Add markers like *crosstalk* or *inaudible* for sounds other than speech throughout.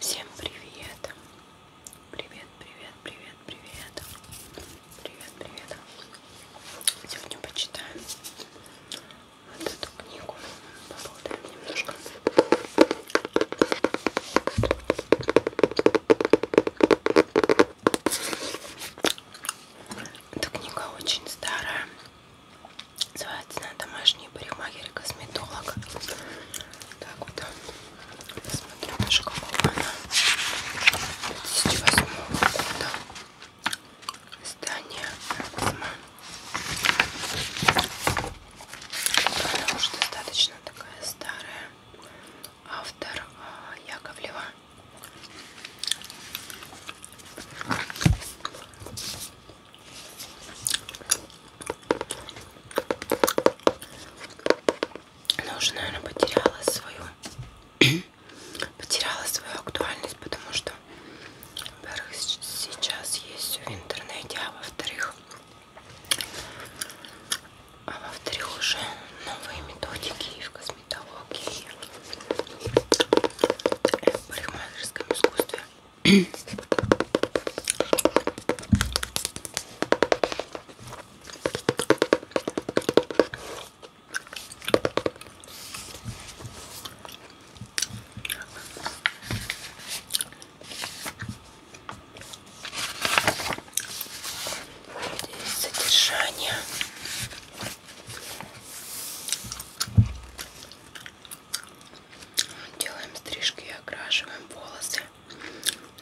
Всем привет! Привет, привет, привет, привет! Привет, привет! Сегодня почитаем вот эту книгу. Поболтаем немножко. Эта книга очень старая. Называется она «Домашний парикмахер и косметолог». Так вот, посмотрю, даже какого она 2008 года. Издание Эксма. Она уже достаточно такая старая. Автор а, Яковлева. Она уже, наверное, потеряла свою *clears throat* потеряла свою актуальность, потому что, во-первых, сейчас есть в интернете, а во-вторых, а во-вторых, уже новые методики в косметологии, в парикмахерском искусстве. Здесь содержание. Делаем стрижки и окрашиваем волосы.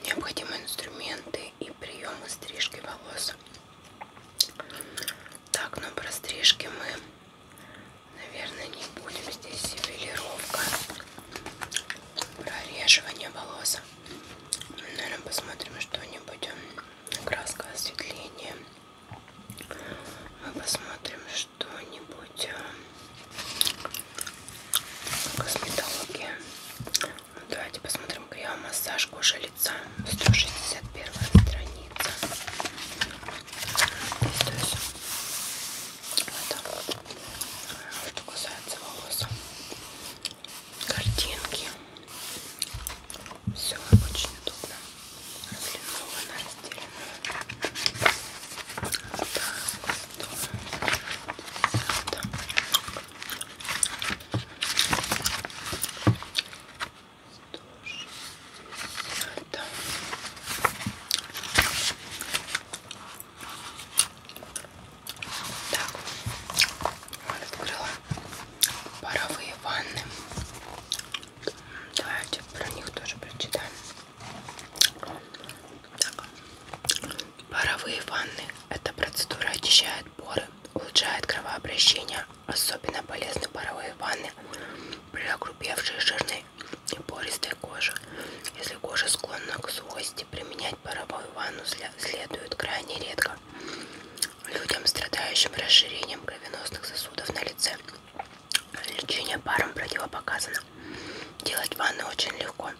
Необходимые инструменты и приемы стрижки волос. Так, но ну, про стрижки мы, наверное, не будем. Здесь ювелировка, прореживание волос. Наверное, посмотрим что-нибудь. Краска, осветление. Мы посмотрим, что-нибудь э, косметологии. Ну, давайте посмотрим крем массаж кожи лица. 161 страница. Здесь это э, что касается волос. Картинки. Все очень удобно. Линолена разделена. Так, открыла паровые ванны. Давайте про них тоже прочитаем. Так. Паровые ванны. Эта процедура очищает поры, улучшает кровообращение. Особенно полезны паровые ванны при огрубевшей жирной и пористой коже. Если кожа склонна к сухости, применять паровую ванну следует крайне редко. Людям, страдающим расширением кровеносных сосудов на лице, Лечение паром противопоказано. Делать ванны очень легко.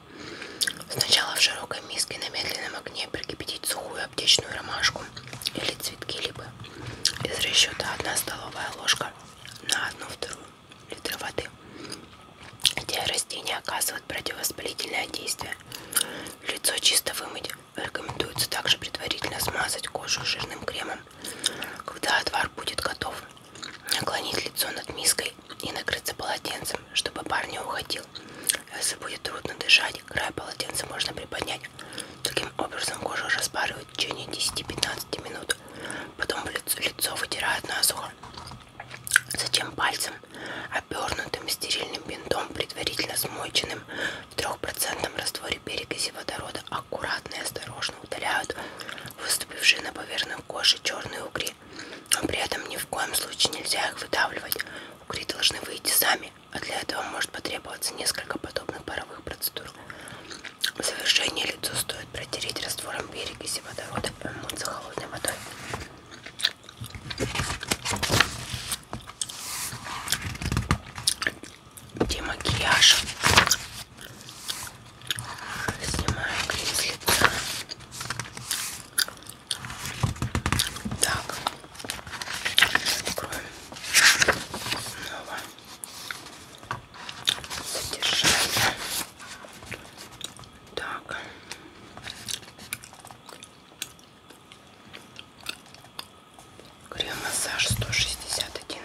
Сначала в широкой миске на медленном огне прикипятить сухую аптечную ромашку или цветки либо из расчета 1 столовая ложка на 1-2 литра воды. Эти растения оказывают противовоспалительное действие. Лицо чисто вымыть. Рекомендуется также предварительно смазать кожу жирным кремом когда отвар будет готов, наклонить лицо над миской и накрыться полотенцем, чтобы пар не уходил. Если будет трудно дышать, край полотенца можно приподнять. Таким образом кожу распаривают в течение 10-15 минут. Потом лицо, лицо вытирают насухо. Затем пальцем, обернутым стерильным бинтом, предварительно смоченным в 3% растворе вскоре перекиси водорода аккуратно и осторожно удаляют выступившие на поверхность кожи черные угри. Но при этом ни в коем случае нельзя их выдавливать. Угри должны выйти сами, а для этого может потребоваться несколько подобных паровых процедур. В завершение лицо стоит протереть раствором перекиси водорода и умыться холодной водой демакияж. Снимаю крем с лица. Так. Откроем. Снова. Содержание. Так. Крем массаж 161.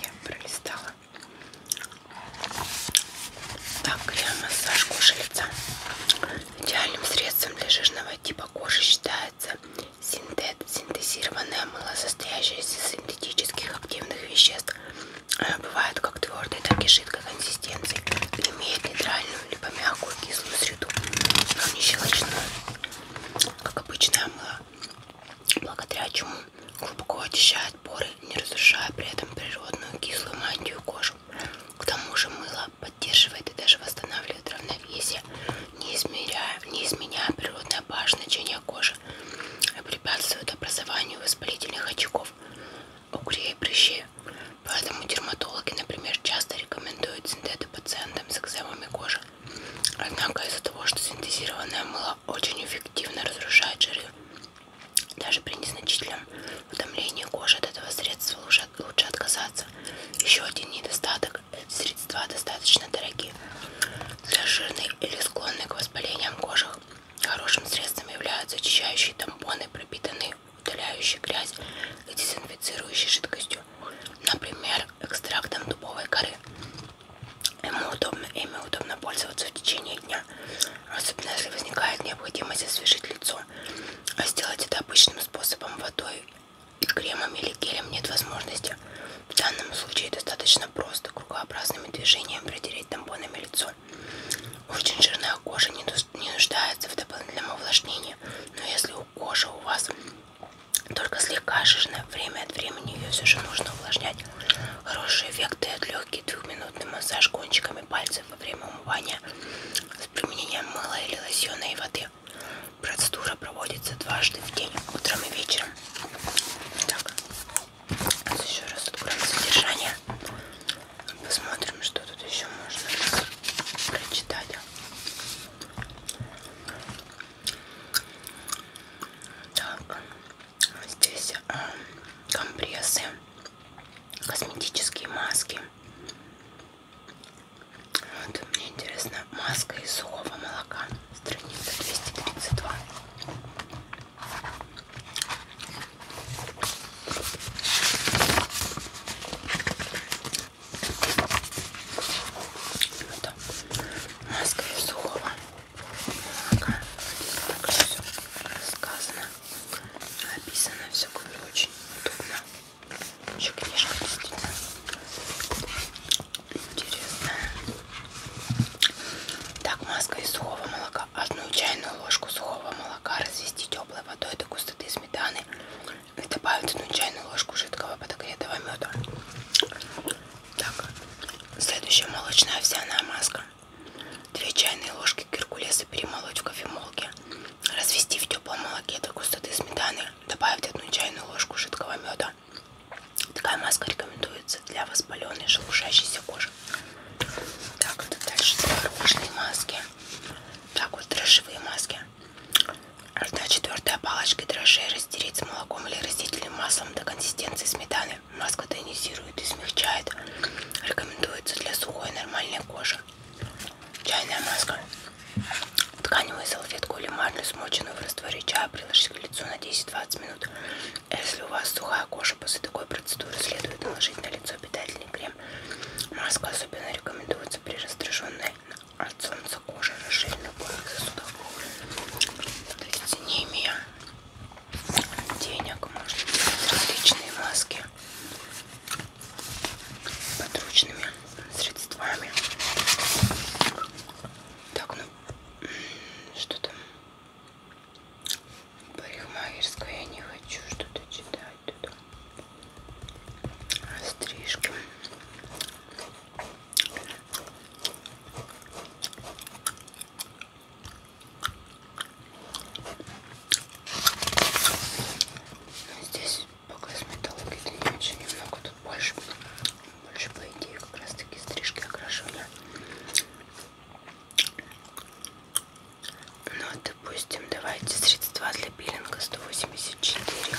Я пролистала. Так, крем-массаж кожи лица. Идеальным средством для жирного типа кожи считается синтет, синтезированное мыло, состоящее из синтетических активных веществ. Бывает как твердой, так и жидкой консистенции. Имеет нейтральную либо мягкую кислую среду, но не щелочную, как обычное мыло благодаря чему глубоко очищает поры, не разрушая при этом природную кислую мантию кожу. К тому же мыло поддерживает и даже восстанавливает равновесие, не изменяя, не изменяя природное pH значение кожи и а препятствует образованию воспалительных очков, угрей и прыщей. Поэтому дерматологи, например, часто рекомендуют синтеты пациентам с экземами кожи, Однако из-за того, что синтезированное мыло очень эффективно разрушает жиры, даже при незначительном утомлении кожи от этого средства лучше, лучше отказаться. Еще один недостаток – эти средства достаточно дорогие. Для жирной или склонной к воспалениям кожи хорошим средством являются очищающие тампоны, пропитанные удаляющей грязь и дезинфицирующей жидкостью например, экстрактом дубовой коры. Ему удобно, ими удобно пользоваться в течение дня, особенно если возникает необходимость освежить лицо. А сделать это обычным способом водой, кремом или гелем нет возможности. В данном случае достаточно просто кругообразным движением протереть тампонами лицо. Очень жирная кожа не нуждается в дополнительном увлажнении, но если у кожи у вас только слегка жирная. Время от времени ее все же нужно увлажнять. Хорошие эффекты от легкий двухминутный массаж кончиками пальцев во время умывания с применением мыла или лосьона и воды. Процедура проводится дважды в день, утром и вечером. Так, Сейчас еще раз откроем содержание. Посмотрим, что тут еще можно прочитать. Так, здесь а, компрессы, косметические маски. Вот, мне интересно, маска из сухого молока, страница 232. Это маска из сухого молока. Так все рассказано, описано, все говорю, очень удобно. Еще книжка действительно интересная. Так, маска из сухого молока. Одну чайную ложку сухого молока развести теплой водой до густоты сметаны и добавить одну чайную ложку жидкого подогретого меда. Так, следующая молочная овсяная маска. 2 чайные ложки геркулеса перемолоть в кофемолке. Развести в теплом молоке до густоты сметаны. Добавить одну чайную ложку жидкого меда. Такая маска рекомендуется для воспаленной шелушащейся кожи. Так, вот дальше творожные маски. Так, вот дрожжевые маски. Одна четвертая палочки дрожжей растереть с молоком или растительным маслом до консистенции сметаны. Маска тонизирует и смягчает. Рекомендуется для сухой нормальной кожи. Чайная маска. Тканевую салфетку или марлю, смоченную в растворе чая, приложить к лицу на 10-20 минут. Если у вас сухая кожа, после такой процедуры следует наложить на лицо питательный крем. Маска особенно рекомендуется при раздраженной от солнца кожа рыжеет любой сосудов. Смотрите, не имея денег, можно делать различные маски подручными средствами. Так, ну что там? Парикмахерская, я не хочу что-то читать. Тут стрижки. Здесь по косметологии не очень немного, тут больше, больше по идее как раз таки стрижки окрашены. Ну, допустим, давайте средства для пилинга 184.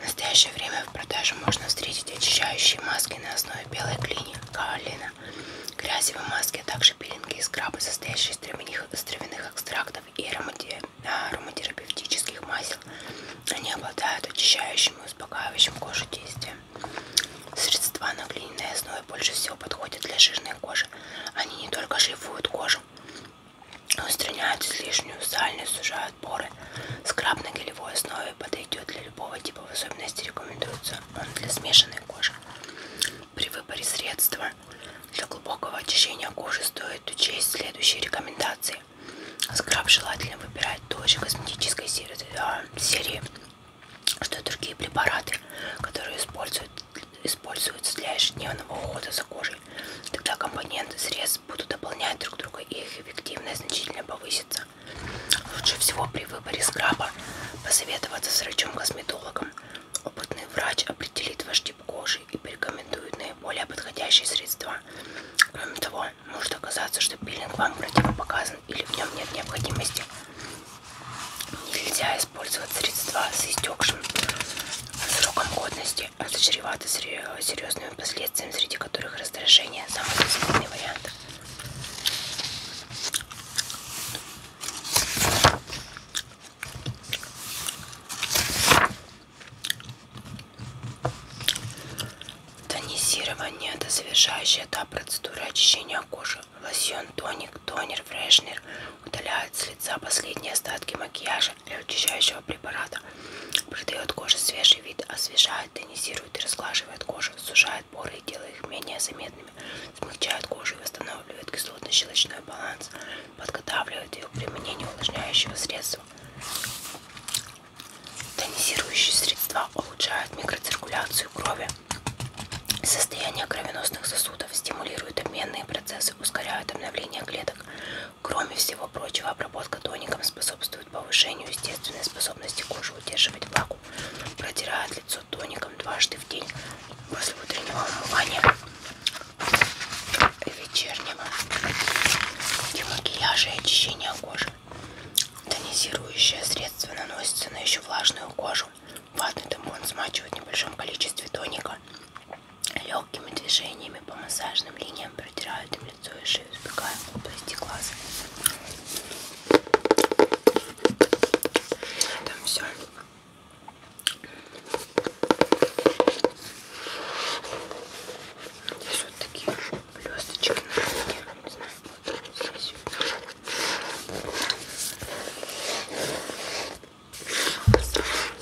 В настоящее время в продаже можно встретить очищающие маски на основе белой глины, каолина, грязевые маски, а также пилинги и скрабы, состоящие из травяных, из травяных экстрактов и аромати, а, ароматерапевтических масел. Они обладают очищающим и успокаивающим кожу действием. Средства на глиняной основе больше всего подходят для жирной кожи. Они не только шлифуют кожу, Устраняют излишнюю сальность, сужают поры. Скраб на гелевой основе подойдет для любого типа, в особенности рекомендуется он для смешанной кожи. При выборе средства для глубокого очищения кожи стоит учесть следующие рекомендации. Скраб желательно выбирать той же косметической а, серии, что и другие препараты, которые используются для ежедневного ухода за кожей. Тогда компоненты средств будут дополнять друг друга и их эффективность значительно повысится. Лучше всего при выборе скраба посоветоваться с врачом-косметологом. Опытный врач определит ваш тип кожи и порекомендует наиболее подходящие средства. Кроме того, может оказаться, что пилинг вам противопоказан или в нем нет необходимости. Нельзя использовать средства с истекшим сроком годности болезни чреваты серьезными последствиями, среди которых раздражение самый последний вариант. Тонизирование – это завершающий этап процедуры очищения кожи. Лосьон, тоник, тонер, фрешнер удаляют с лица последние остатки макияжа кожи для очищающего препарата. Придает коже свежий вид, освежает, тонизирует и разглаживает кожу, сужает поры и делает их менее заметными, смягчает кожу и восстанавливает кислотно-щелочной баланс, подготавливает ее к применению увлажняющего средства. Тонизирующие средства улучшают микроциркуляцию крови, состояние кровеносных сосудов, стимулируют обменные процессы, ускоряют обновление клеток, Кроме всего прочего, обработка тоником способствует повышению естественной способности кожи удерживать влагу. Протирает лицо тоником дважды в день после утреннего умывания и вечернего для макияжа и очищения кожи. Тонизирующее средство наносится на еще влажную кожу. Ватный тампон смачивает в небольшом количестве тоника Легкими движениями по массажным линиям протирают им лицо и шею, избегая области глаз. Там все. Здесь вот такие блесточки на руке. Не знаю, вот здесь.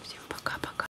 Всем пока-пока.